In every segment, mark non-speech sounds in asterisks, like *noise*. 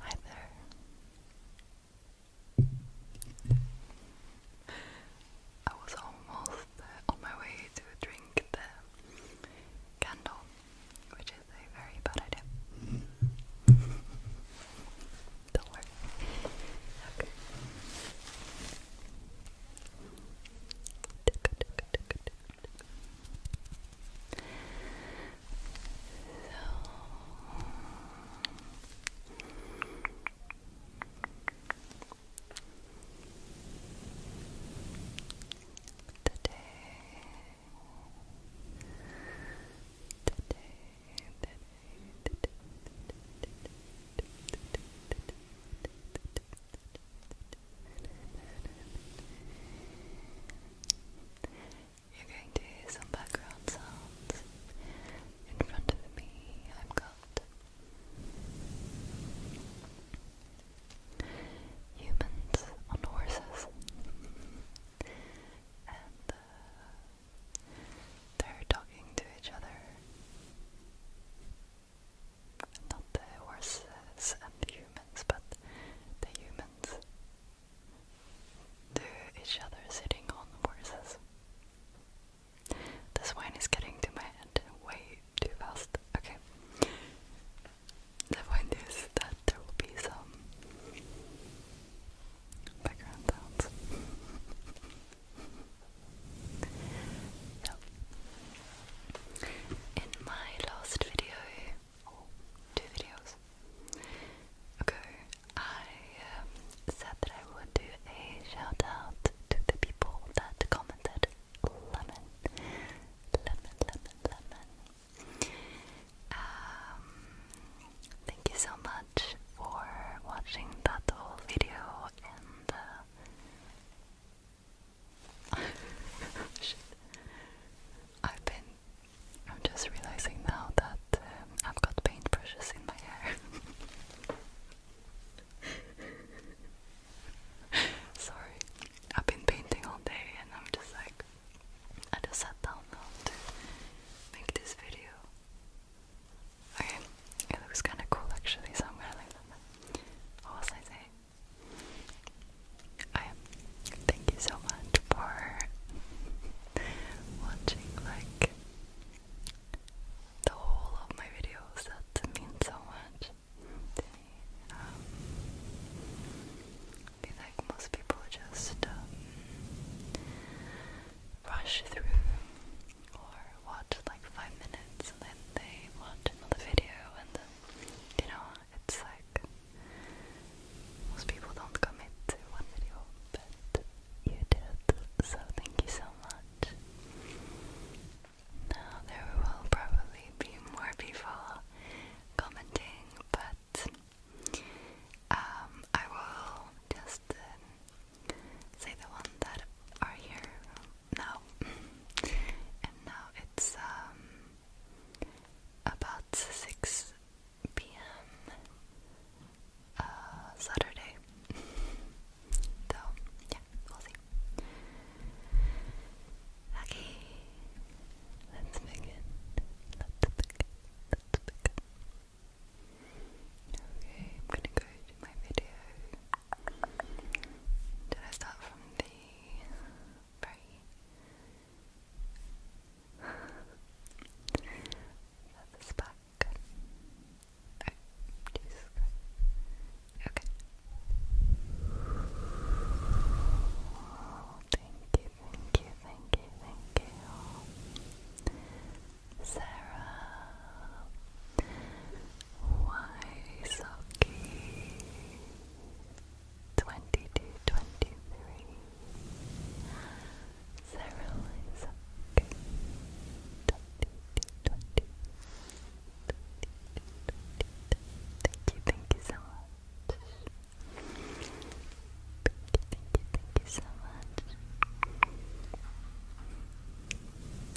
Hi there. I was almost on my way to drink the candle, which is a very bad idea. Don't worry. Today, today, today, today, You're going to hear some background sounds in front of me I've got humans on horses and uh, they're talking to each other not the horses and the humans, but the humans to each other sitting on horses. This wine is getting to my head way too fast. Okay. The point is that there will be some background sounds. in my last video, or videos ago, I um, said that I would do a shout out to the people that commented lemon, lemon, lemon, lemon. Um, thank you so much for watching that whole video and uh, *laughs* I've been. I'm just realizing now that um, I've got paint brushes in my hair. *laughs* Sorry, I've been painting all day and I'm just like, I just sat down now to make this video. Okay, it looks kind of cool actually, so I'm gonna leave that. What I saying? I thank you so much for watching like the whole of my videos that mean so much. They, um, most people just um, rush through or watch like five minutes and then they watch another video and you know, it's like most people don't commit to one video but you did, so thank you so much. Now, there will probably be more people commenting, but um, I will just uh, say the one that are here now. and now it's um, about six p.m. Uh, Saturday. *laughs* so, yeah, we'll see. Okay, let's begin. Let's begin. Let's begin. Okay, I'm gonna go to my video. Did I start from the very? *laughs* That's the Oh, Okay. thank you, thank you, thank you, thank you. Sarah. Why Twenty-two, twenty-three. Thank you, thank you so much. Thank you, thank you so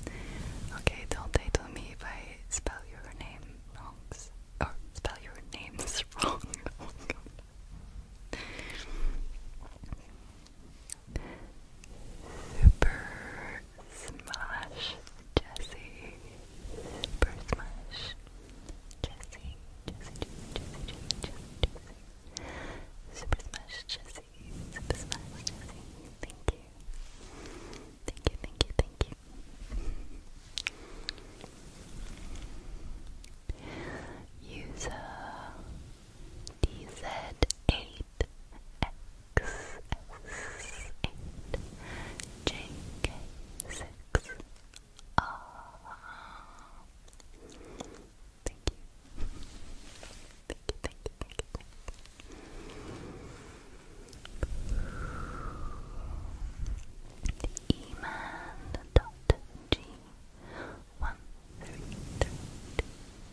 much. Okay, don't they tell me if I spell your name wrongs or spell your names *laughs* wrong? Super Smash Jesse. Super Smash Jesse. Jesse, Jesse, Jesse, Jesse, Super Smash Jesse. Super Smash Jesse. Thank you. Thank you, thank you, thank you user dz 8 xs 6 r Thank you. Thank you, thank you, thank you, thank you. Eman.g one, three, three, two,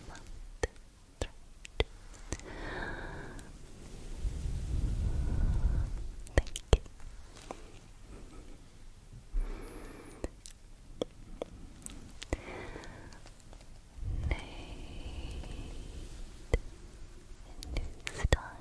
one, two, three, two. Thank you. Nate and Newstein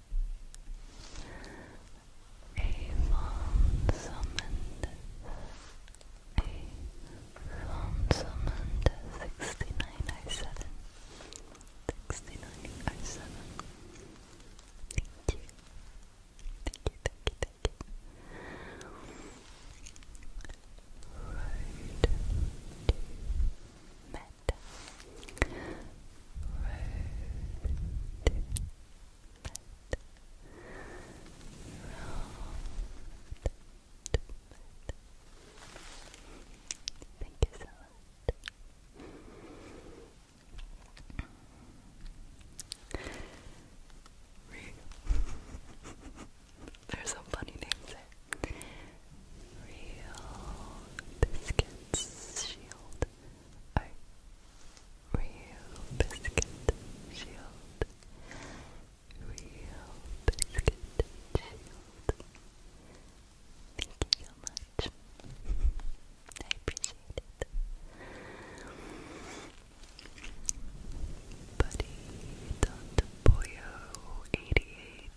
Avon summoned Avon summoned sixty nine I Thank you Thank you thank you thank you Road Road Thank you so much. There's some funny names Real Biscuits Shield. Real Biscuit Shield. Real Biscuit Shield. Thank you so much. I appreciate it. Buddy Dot Boyo 88.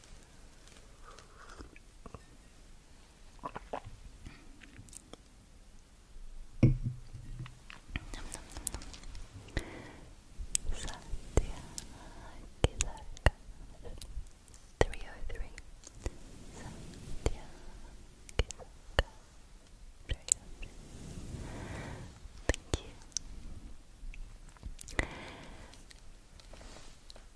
Three oh three. Thank you.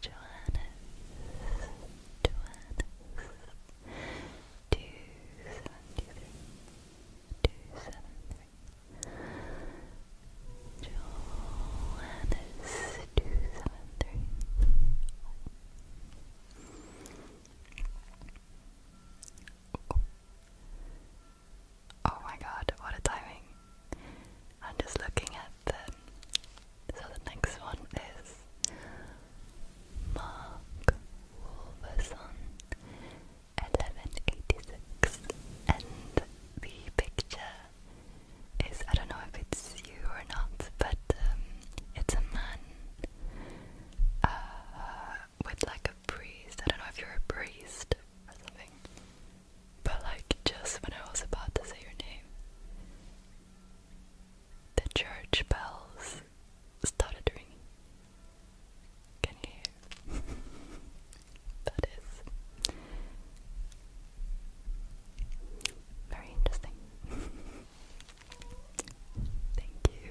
Johannes, Johannes, two seventy three, two seven three. Johannes, two seven three. Oh my god, what a timing! I'm just looking at them. So the next one is Mark Wolverson, 1186, and the picture is I don't know if it's you or not, but um, it's a man uh, with like a priest. I don't know if you're a priest or something. But like just when I was about to say your name, the church bells started ringing. Can you hear? *laughs* that is very interesting. *laughs* Thank you,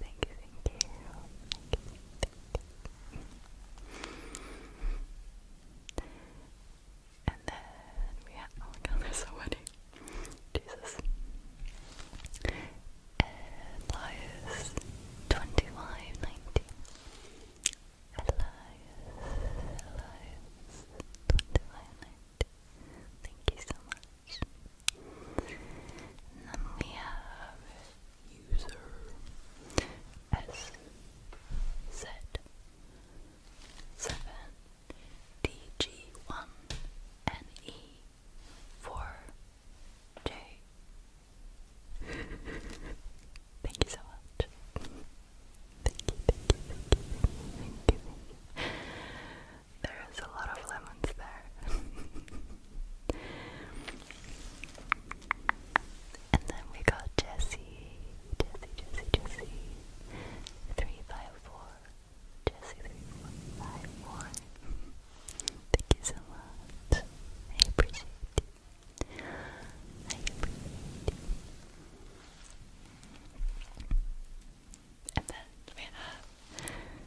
Thank you, thank you. Thank you, thank you. And then we have, oh my god, *laughs* there's so many. Jesus. Elias, 25, Elias, Elias, 25, Thank you so much. And then we have user S Z seven D G one N E four J. *laughs* Thank you so much. thank you, thank you, thank you, thank you. There is a lot of lemons there. *laughs* And then we got Jesse, Jesse, Jesse, Jesse, three five four, Jesse three four five four. Thank you so much. I appreciate you. I And then we have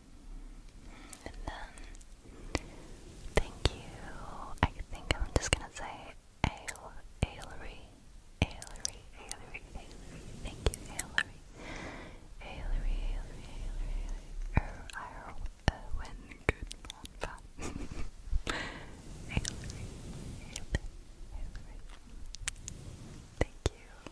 And then, thank you. I think I'm just gonna say Ale, Ailery, Ailery, Ailery, Ailery. Thank you, Ailery. Ailery, Ailery, Ailery, Er, Irel, Erwin, good one, Ailery, Ailery, *laughs* Ailery. Thank you.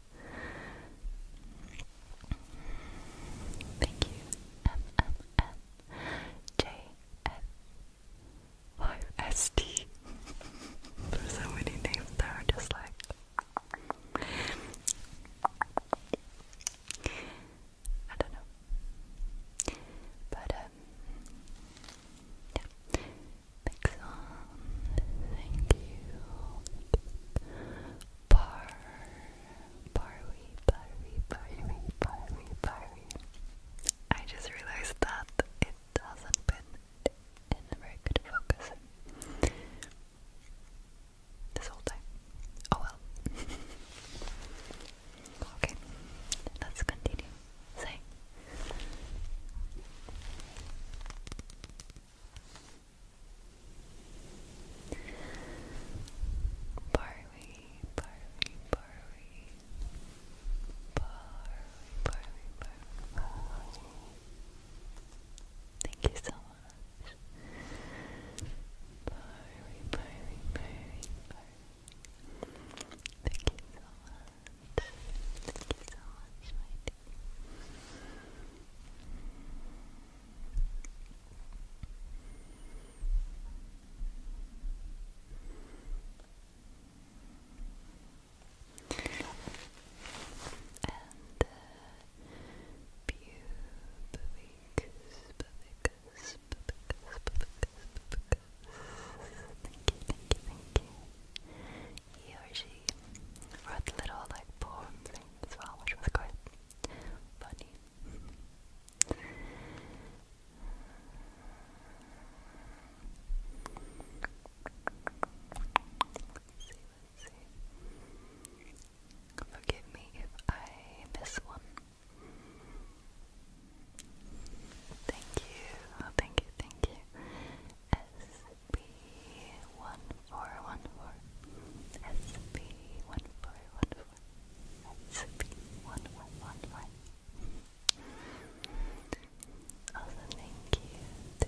Thank you, MMMJF5ST. *laughs* There's so many names that just like. I don't know. But, um, yeah. Nixon, thank you. Bar, barry, barry, barry, barry, barry. I just realized that it hasn't been in a very focus this whole time. Oh well. *laughs* okay, let's continue. Say. Barley, barley, barley. Barley, barley, barley, Thank you so much. Barley, barley, barley, barley. Thank you so much. Thank you so much, my dear. And Thank you, thank you, thank you he or she wrote little like poem things as well, which was quite funny. Forgive me if I miss one. Thank you, oh, thank you, thank you. SB1414 SB1414 SB1111 Also thank you to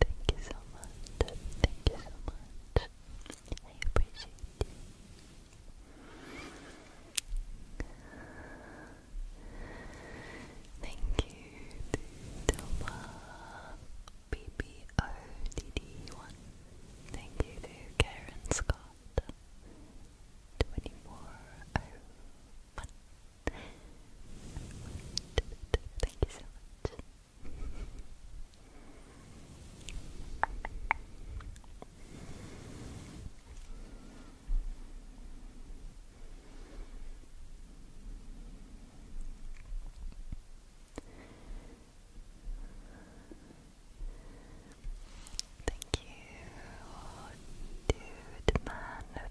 Thank you so much. Thank you so much. I appreciate you. Thank you to Toma BBODD1. Thank you to Karen Scott. 2401. Thank you so much. Thank you to the man of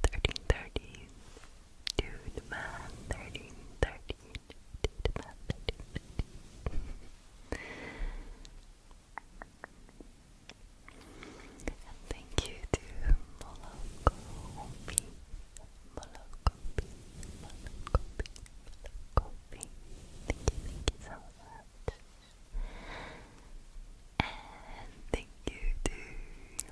1330 Dude man 13, and thank you to Moloko B. Moloko B. Thank you, thank you so much. And thank you to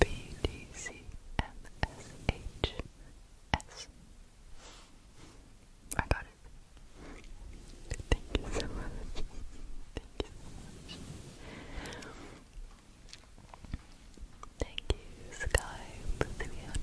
B D C M S H S. I got it. Thank you so much. Thank you Thank you, Skype 309,